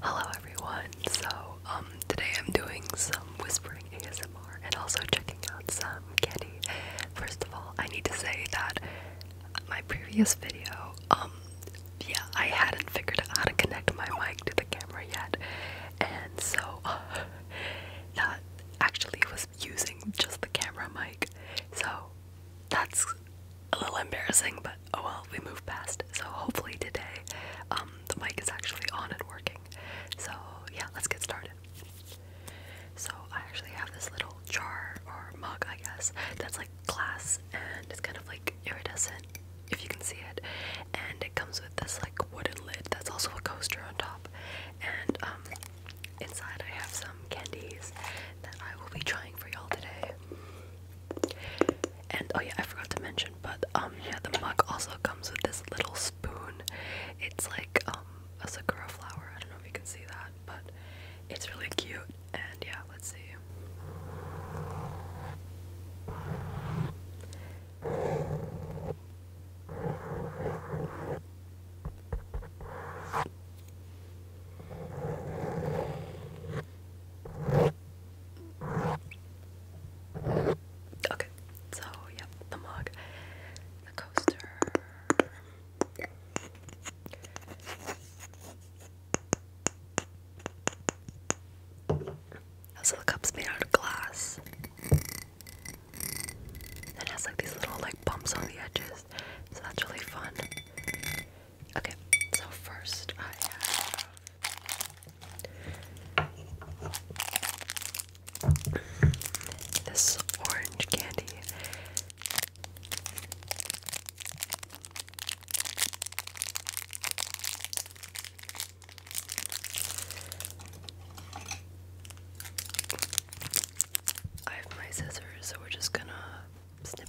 Hello everyone. So, um, today I'm doing some whispering ASMR and also checking out some candy. First of all, I need to say that my previous video, um, yeah, I hadn't figured out how to connect my mic to the camera yet. And so that actually was using just the camera mic. So that's a little embarrassing, but oh well, we move past. So hopefully today um, the mic is actually on and working. So yeah, let's get started. So I actually have this little jar or mug, I guess, that's like glass and it's kind of like iridescent, if you can see it. And it comes with this like wooden lid that's also a coaster on top. And um, inside I have some candies that I will be trying for y'all today. And oh yeah, I forgot to mention, but um yeah, the mug also comes with this little spoon. It's like um a sakura flower. I don't know if you can see that, but it's really cute. And yeah, let's see. Okay, so yep, the mug, the coaster. Yeah. So the cup's made out of glass. And it has like these little like bumps on the edges. So that's really fun. Okay, so first I have this orange candy. I have my scissors, so we're just gonna snip.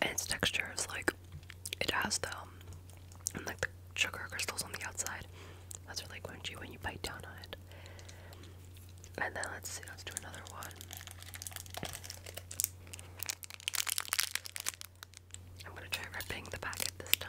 and its texture is like it has the um, like sugar crystals on the outside. That's really crunchy when you bite down on it. And then let's see, let's do another one. I'm gonna try ripping the packet this time.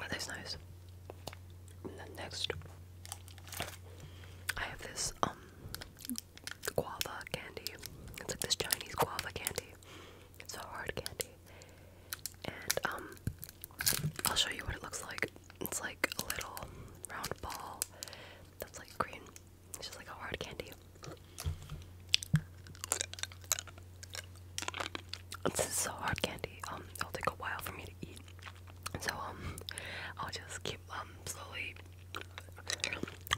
That is nice? next, I have this um, guava candy. It's like this Chinese guava candy. It's a hard candy, and um, I'll show you what it looks like. It's like a little round ball that's like green. It's just like a hard candy. This is so hard candy. Um, it'll take a while for me to eat. So um, I'll just keep um slowly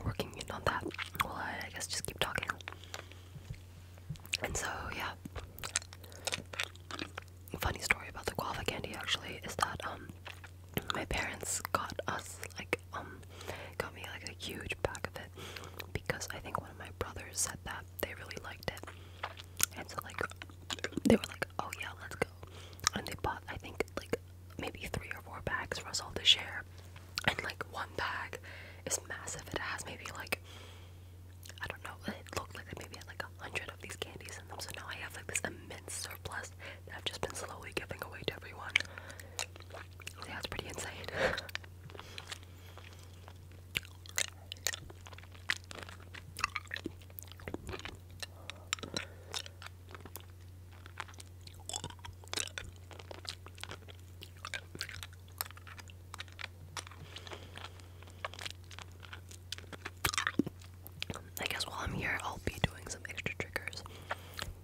working in on that. Well, I, guess just keep talking. And so yeah. Funny story about the guava candy actually is that um my parents got us like um got me like a huge pack of it because I think one of my brothers said that they really liked it. And so like they were like, Oh yeah, let's go and they bought I think like maybe three or four bags for us all to share. And like one bag is massive. It has maybe like I don't know, it looked like they maybe had like a hundred of these candies in them. So now I have like this immense surplus I've just been slowly giving away to everyone. Yeah, pretty insane. I guess while I'm here, I'll be doing some extra triggers.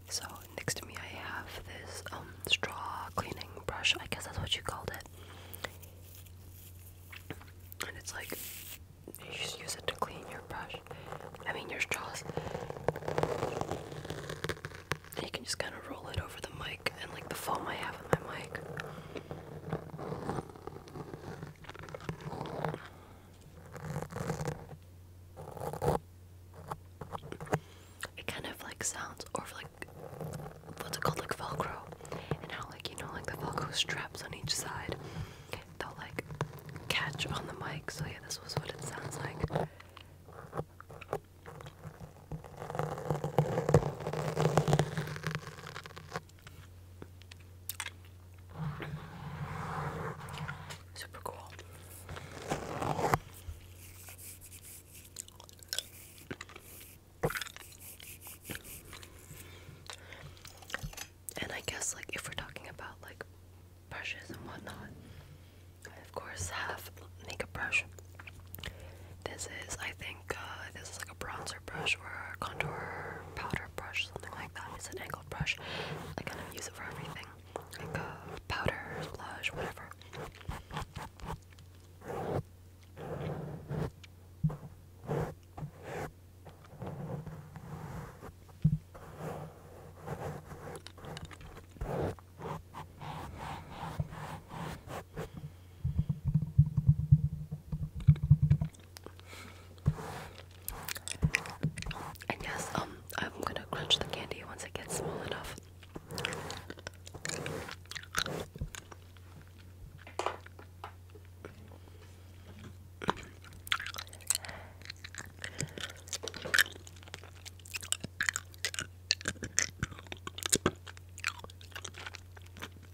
So next to me, I have this um straw cleaning brush. I guess that's what you called it. And it's like you just use it to clean your brush. I mean your straws. you can just kind of roll it over the mic and like the foam I have on my mic. It kind of like sounds, or like what's it called, like Velcro, and how like you know, like the Velcro straps on each side, they'll like catch on the mic. So yeah, this was what it sounds like. Super cool. And I guess, like, if we're talking about like brushes and whatnot, I of course have makeup brush. This is, I think, uh, this is like a bronzer brush or a contour powder brush, something like that. It's an brush. I kind of use it for everything, like uh, powder, blush, whatever. And yes, um, I'm gonna crunch the candy once it gets small enough.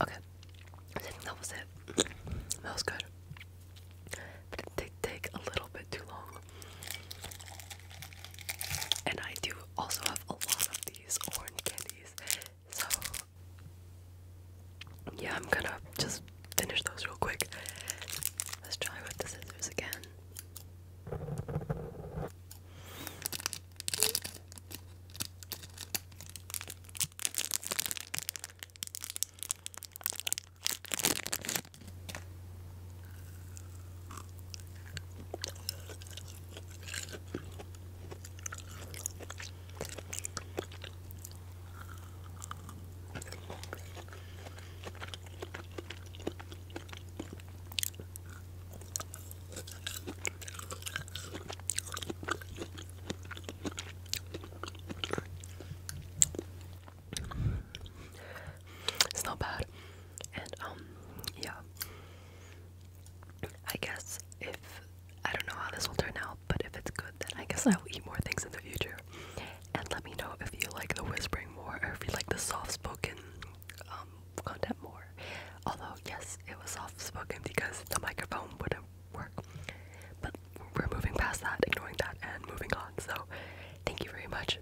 Okay, I that was it. That was good. But it did take a little bit too long. And I do also have a lot of these orange candy so yeah, I'm gonna just finish those real quick. Let's try with the scissors again. It's not bad. And um yeah. I guess if I don't know how this will turn out, but if it's good, then I guess I will eat more things in the future. And let me know if you like the whispering more, or if you like the soft-spoken um, content more. Although yes, it was soft-spoken because the microphone wouldn't work. But we're moving past that, ignoring that, and moving on. So thank you very much.